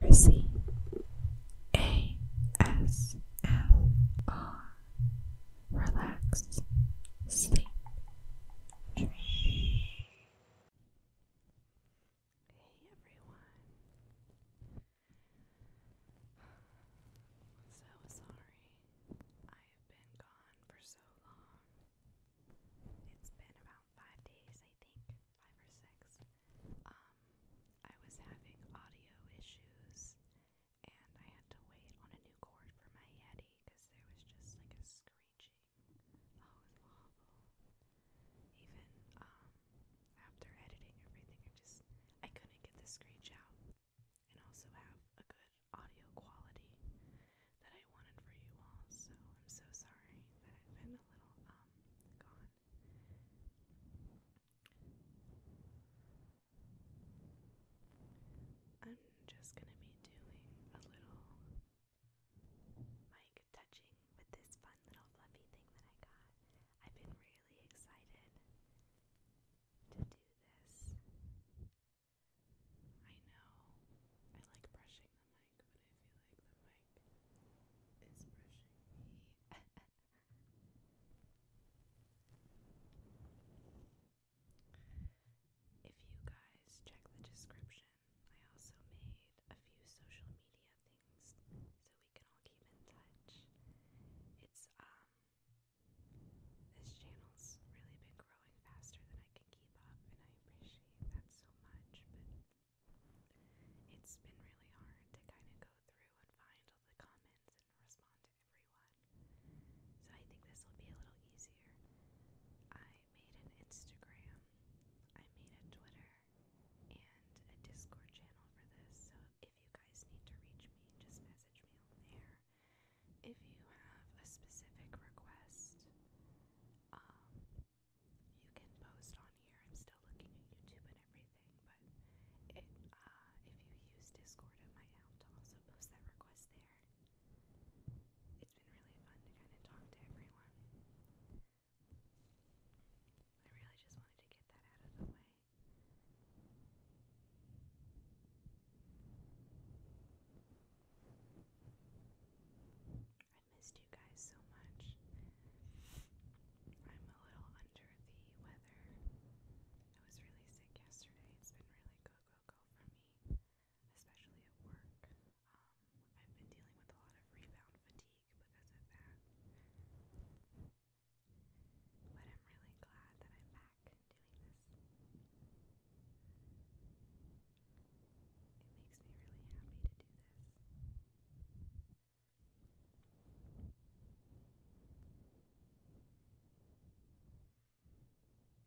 Chrissy Relax Sleep Dream Hey everyone So sorry I have been gone for so long. It's been about five days I five or six, um, I was having audio issues and I had to wait on a new cord for my Yeti because there was just like a screeching. Oh, it was awful. Even um, after editing everything, I just I couldn't get the screech out and also have a good audio quality that I wanted for you all. So I'm so sorry that I've been um, I'm just gonna be doing a little mic touching with this fun little fluffy thing that I got. I've been really excited to do this. I know I like brushing them mic, if you guys check the description, I also made a few social media things so we can all keep in touch. It's, um, this channel's really been growing faster than I can keep up, and I appreciate that so much, but it's been really hard to kind of go through and find all the comments and respond to everyone. So I think this will be a little easier. I made an Instagram, I made a Twitter, and a Discord channel for this. So if you guys need to reach me, just message me on there. If you have a specific request, um, you can post on here. I'm still looking at YouTube and everything, but uh, if you use Discord, it might help to also post that request there. It's been really fun to kind of talk to everyone. I really just wanted to get that out of the way. I missed you guys so much. I'm a little under the weather. I was really sick yesterday. It's been really go go go for me, especially at work. Um, I've been dealing with a lot of rebound fatigue because of that. But I'm really glad that I'm back doing this. It makes me really happy to do this.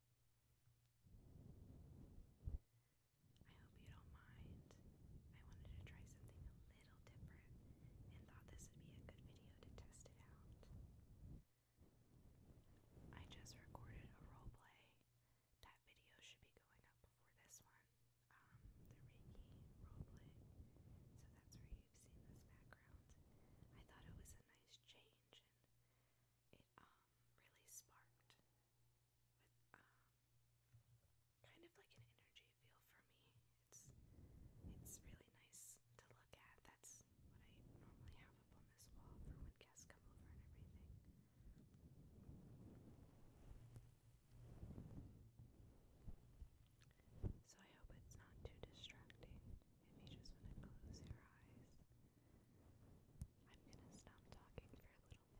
I hope you don't mind. I wanted to try something a little different and thought this would be a good video to test it out. I just recorded a roleplay. That video should be going up before this one. Um, the Reiki roleplay. So that's where you've seen this background. I thought it was a nice change it um, really sparked with um, kind of like an energy feel for me. It's it's really nice to look at. That's what I normally have up on this wall for when guests come over and everything. So I hope it's not too distracting if you just want to close your eyes I'm gonna stop talking for a little bit.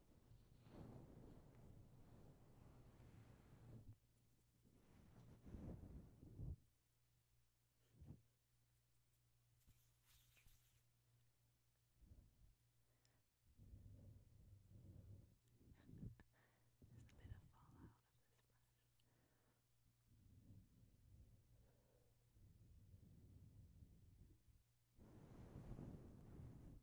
There's a bit of fallout of this brush.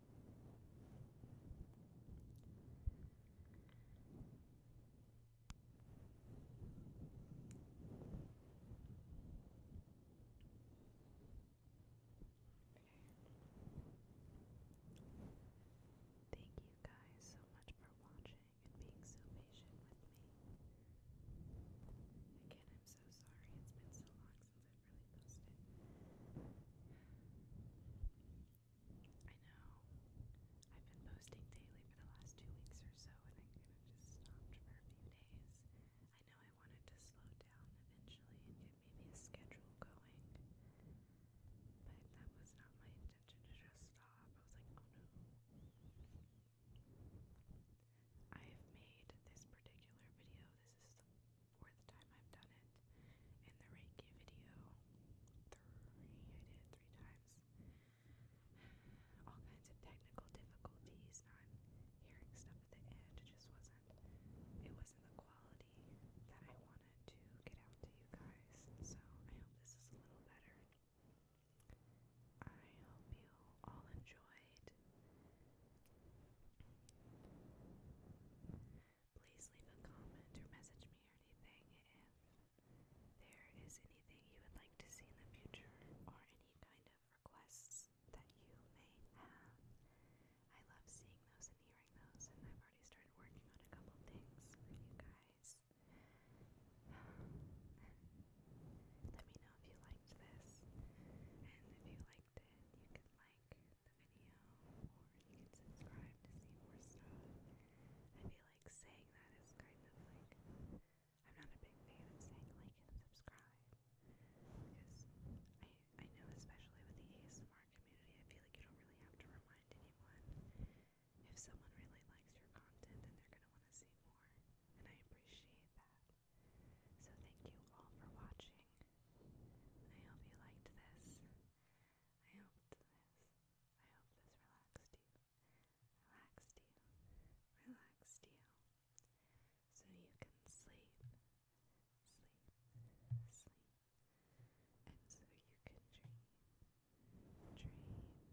Thank you guys so much for watching and being so patient with me. Again, I'm so sorry it's been so long i know I've been posting daily for the last two weeks or so, and I kind of just stopped for a few days. I know I wanted to slow down eventually and get maybe a schedule going, but that was not my intention to just stop. I was like, oh no. I have made this particular video, this is the fourth time I've done it in the Reiki video. Three, I did three times. All kinds of technical difficulties, not hearing stuff at the end. It just wasn't, it wasn't the quality that I wanted to get out to you guys. So I hope this is a little better. I hope you all enjoyed Please leave a comment or message me or anything if there is anything you would like to see in the future or any kind of requests that you may have. I love seeing those and hearing those, and I've already started working on a couple things for you guys. Let me know if you liked this and if you like you can like the video or you can subscribe to see more stuff. I feel like saying that is kind of like I'm not a big fan of saying like and subscribe because I I know especially with the ASMR community, I feel like you don't really have to remind anyone. If someone really likes your content, then they're gonna want to see more, and I appreciate that. So thank you all for watching. I hope you liked this. I hope this. I hope this relaxed you. Relaxed you. Relaxed you. So you can sleep. Sleep. Sleep. And so you can dream. Dream. dream. Good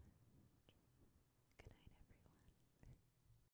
everyone.